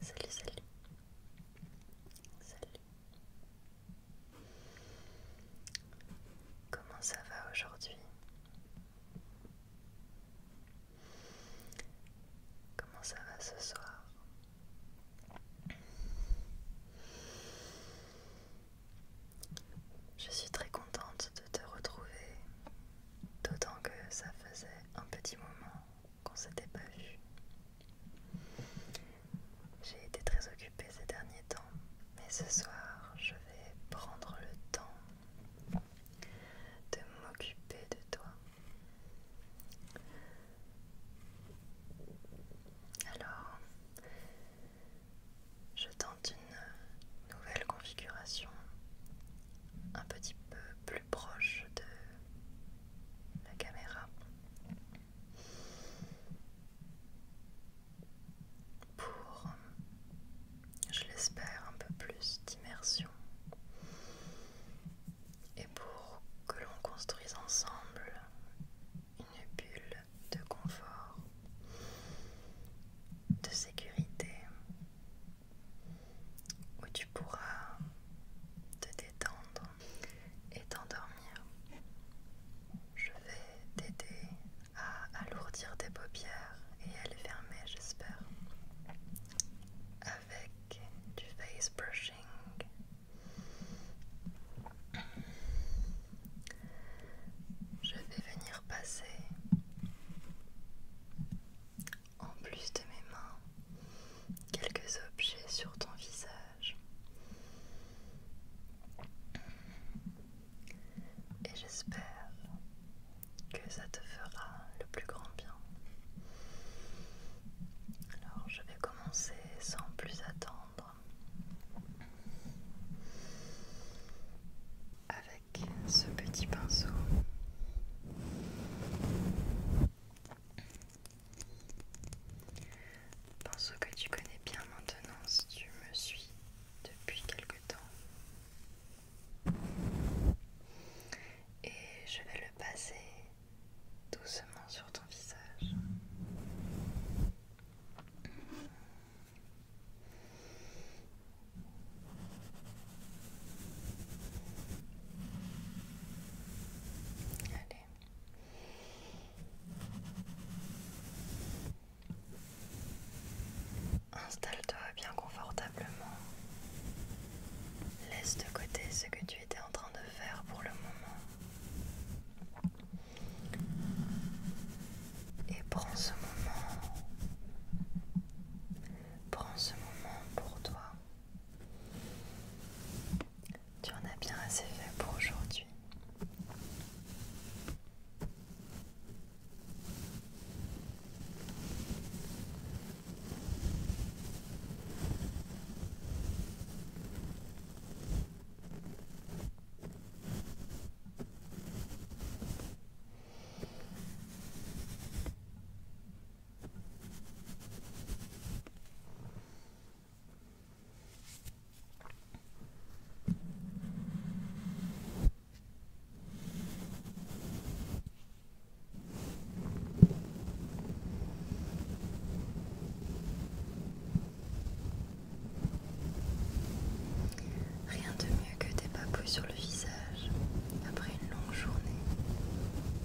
Salut, salut. Salut. Comment ça va aujourd'hui Comment ça va ce soir Je suis très contente de te retrouver, d'autant que ça faisait un petit moment qu'on s'était pas vu. J'ai été très occupée ces derniers temps, mais ce soir je vais prendre le temps de m'occuper de toi. Alors, je tente une nouvelle configuration un petit peu plus proche de la caméra pour, je l'espère, un peu plus d'immersion et pour que l'on construise ensemble une bulle de confort, de sécurité où tu pourras te détendre et t'endormir. Je vais t'aider à alourdir tes paupières et à les fermer, j'espère, avec du face brushing. Je vais venir passer en plus de mes mains, quelques objets sur ton visage. Et j'espère que ça te fera le plus grand bien. Alors je vais commencer sans plus attendre avec ce petit pinceau ce que tu connais bien maintenant si tu me suis depuis quelque temps. Et je vais le passer doucement sur ton visage. Allez. Installe-toi bien confortablement. Laisse de côté ce que tu étais en train de faire pour le moment. Et prends ce moment. Prends ce moment pour toi. Tu en as bien assez fait pour aujourd'hui. Rien de mieux que des papouilles sur le visage après une longue journée.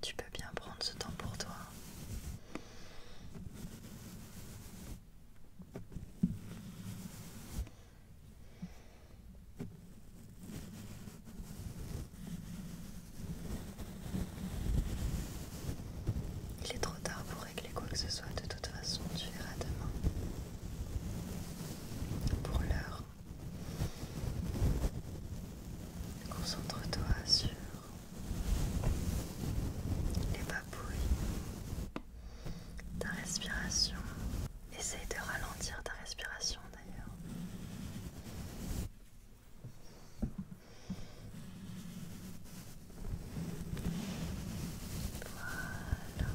Tu peux bien prendre ce temps pour toi. Il est trop tard pour régler quoi que ce soit, de toute façon, tu verras demain. Pour l'heure, concentre-toi sur les papouilles ta respiration. Essaye de ralentir ta respiration d'ailleurs. Voilà.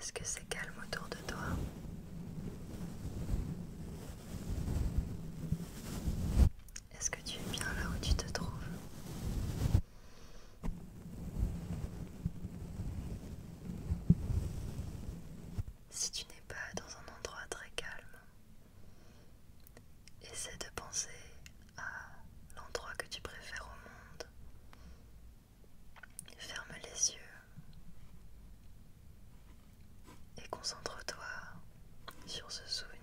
Est-ce que c'est calme autour de toi est-ce que tu es bien là où tu te trouves Si tu n'es pas dans un endroit très calme, essaie de penser à l'endroit que tu préfères au monde. Ferme les yeux et concentre-toi sur ce souvenir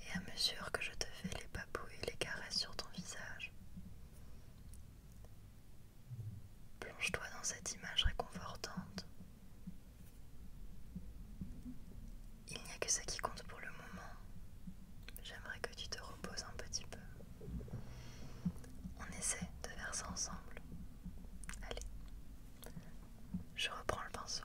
et à mesure que je te fais les papouilles, les caresses sur ton visage, plonge-toi dans cette image réconfortante. Il n'y a que ça qui compte pour le moment. J'aimerais que tu te reposes un petit peu. On essaie de faire ça ensemble. Allez, je reprends le pinceau.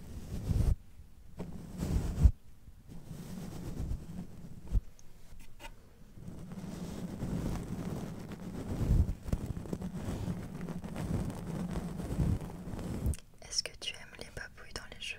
Est-ce que tu aimes les papouilles dans les cheveux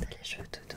T'as les cheveux tout doux.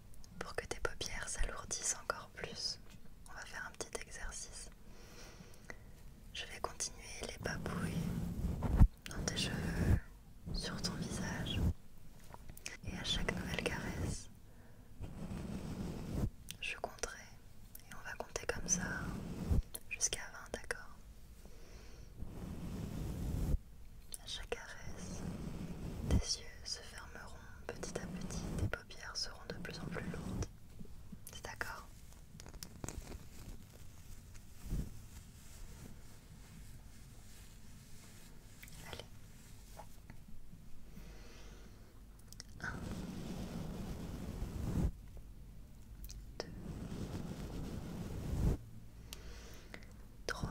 pour que tes paupières s'alourdissent encore plus. On va faire un petit exercice. Je vais continuer les babouilles dans tes cheveux, sur ton visage. Et à chaque nouvelle caresse, je compterai. Et on va compter comme ça jusqu'à 20, d'accord À chaque caresse, tes yeux se fermeront petit à petit, tes paupières seront de plus en plus lourdes. C'est d'accord Allez. 2 3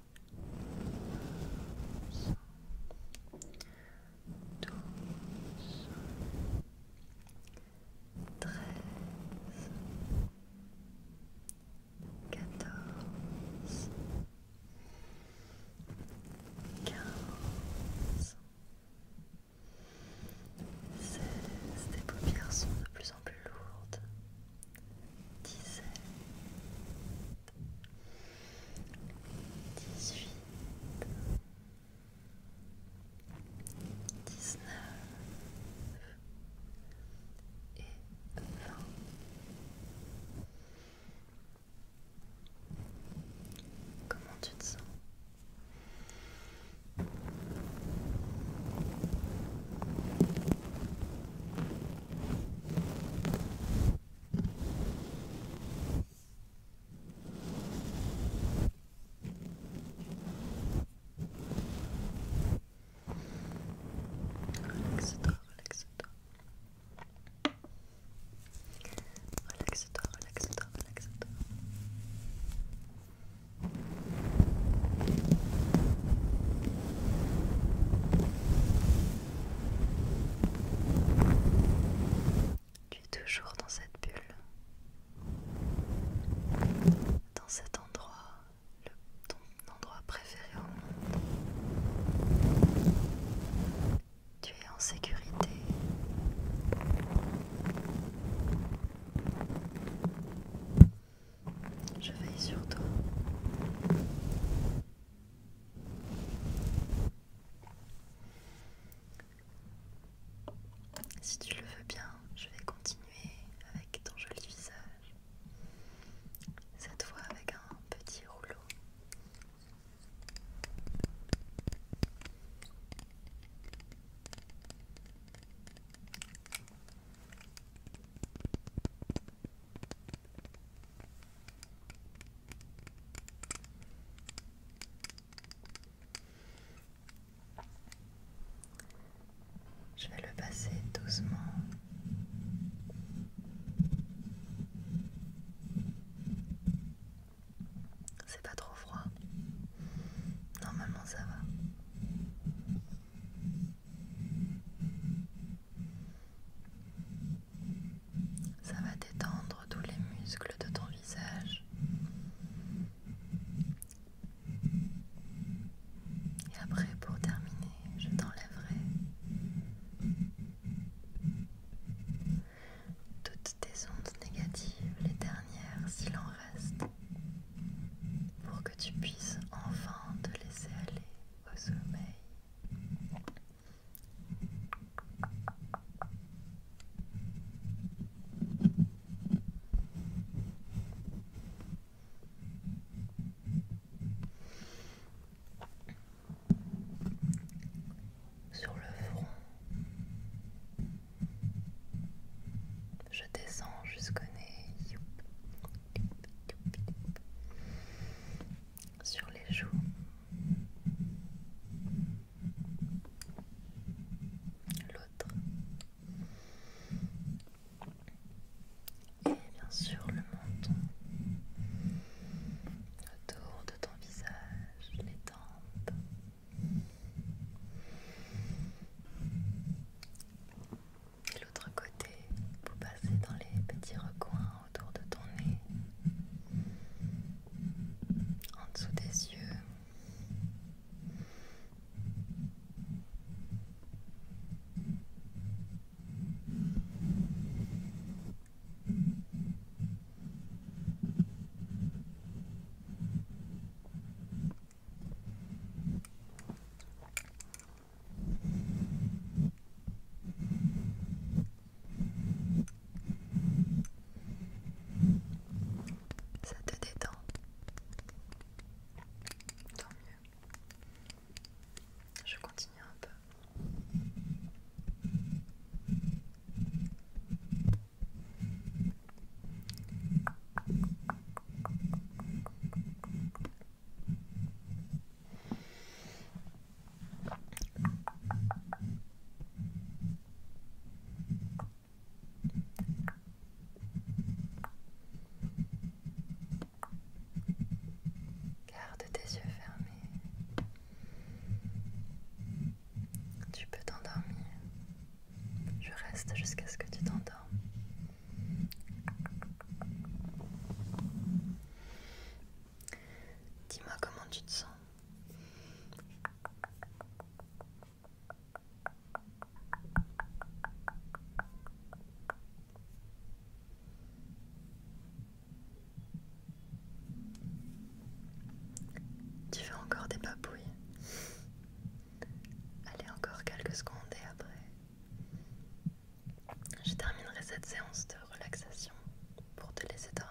11, 12, 13, 14, 15, 16 des paupières sont de plus en plus lourdes, 17, dix-huit, dix-neuf et vingt. Comment tu te sens Relaxe-toi, relaxe-toi. Relaxe-toi, tu es toujours dans cette bulle, dans cet endroit, ton endroit préféré au monde. Tu es en sécurité. Je veille sur toi. Si tu le veux bien, je vais continuer avec ton joli visage. Cette fois avec un petit rouleau. Je vais le passer doucement. C'est pas trop froid. Normalement ça va. Ça va détendre tous les muscles de ton visage. Et après, pour terminer, je t'enlèverai toutes tes ondes négatives, les dernières s'il en reste, pour que tu puisses enfin te laisser aller au sommeil. Sur le front, je descends jusqu'au nez sur les joues. L'autre. Et bien sûr le menton. Autour de ton visage, les tempes. Et l'autre côté, vous passez dans les petits recoins autour de ton nez, en dessous des yeux. Ça te détend. Tant mieux. Je continue un peu. Garde tes yeux fermés. Tu peux t'endormir. Je reste jusqu'à ce que tu t'endormes. Dis-moi comment tu te sens. Tu fais encore des papouilles. Allez, encore quelques secondes et après, je terminerai cette séance de relaxation pour te laisser dormir.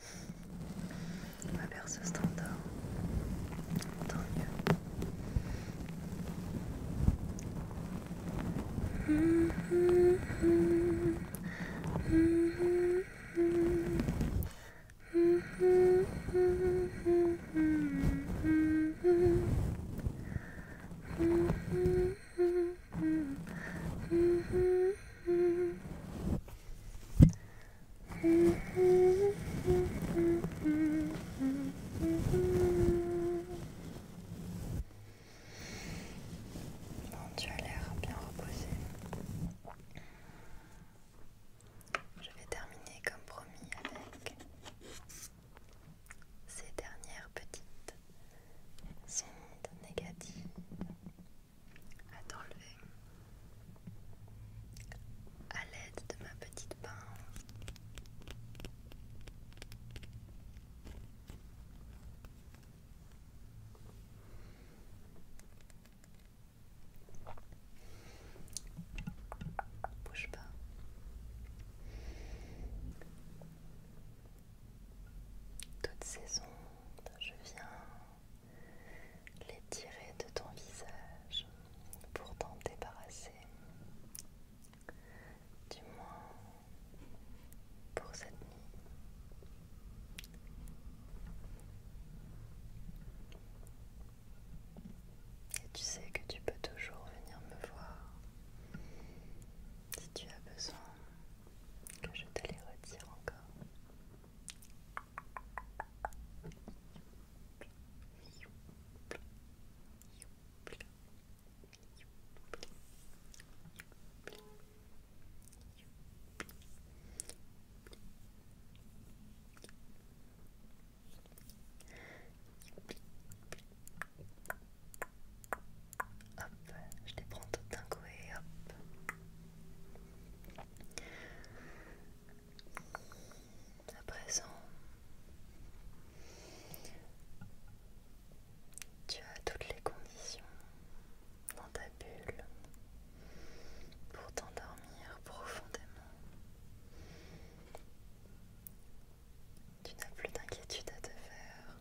Ma berceuse t'endort. Tant mieux. Bon tu as l'air bien reposé. Je vais terminer comme promis avec ces dernières petites sondes négatives à t'enlever à l'aide de ma petite pince. Bouge pas. Toutes ces ondes, je viens les tirer de ton visage pour t'en débarrasser. Du moins pour cette nuit. Et tu sais que tu peux toujours venir me voir si tu as besoin que je te les retire encore. Hop, je te prends tout d'un coup et Hop. À présent, tu as toutes les conditions dans ta bulle pour t'endormir profondément. Tu n'as plus d'inquiétude à te faire.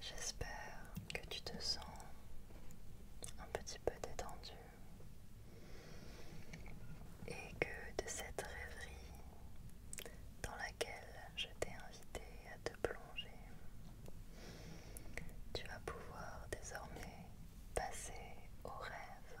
J'espère que tu te sens un petit peu détendu et que de cette rêverie dans laquelle je t'ai invité à te plonger, tu vas pouvoir désormais passer au rêve.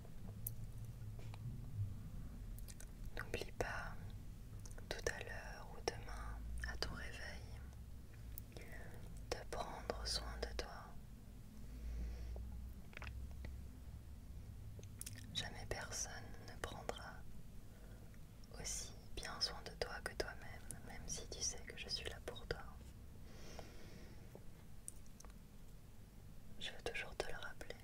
N'oublie pas, tout à l'heure ou demain, à ton réveil, de prendre soin de toi. Jamais personne ne prendra aussi bien soin de toi que toi-même, même si tu sais que je suis là pour toi. Je veux toujours te le rappeler.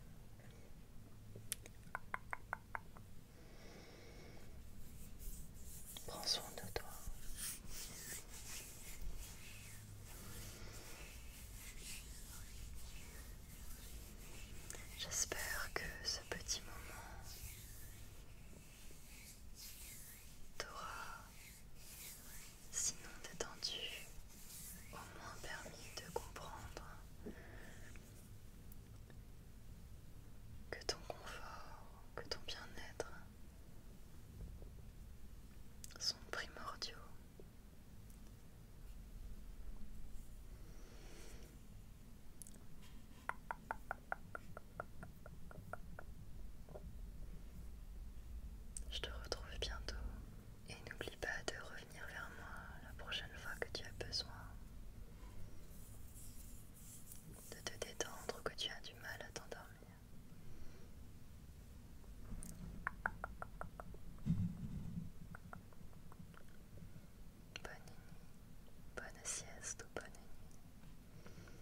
Prends soin de toi. J'espère que ce petit moment t'aura sinon détendu au moins permis de comprendre que ton confort, que ton bien-être sont primordiaux. Je te retrouve bientôt et n'oublie pas de revenir venir vers moi la prochaine fois que tu as besoin de te détendre ou que tu as du mal à t'endormir. Bonne nuit, bonne sieste ou bonne nuit.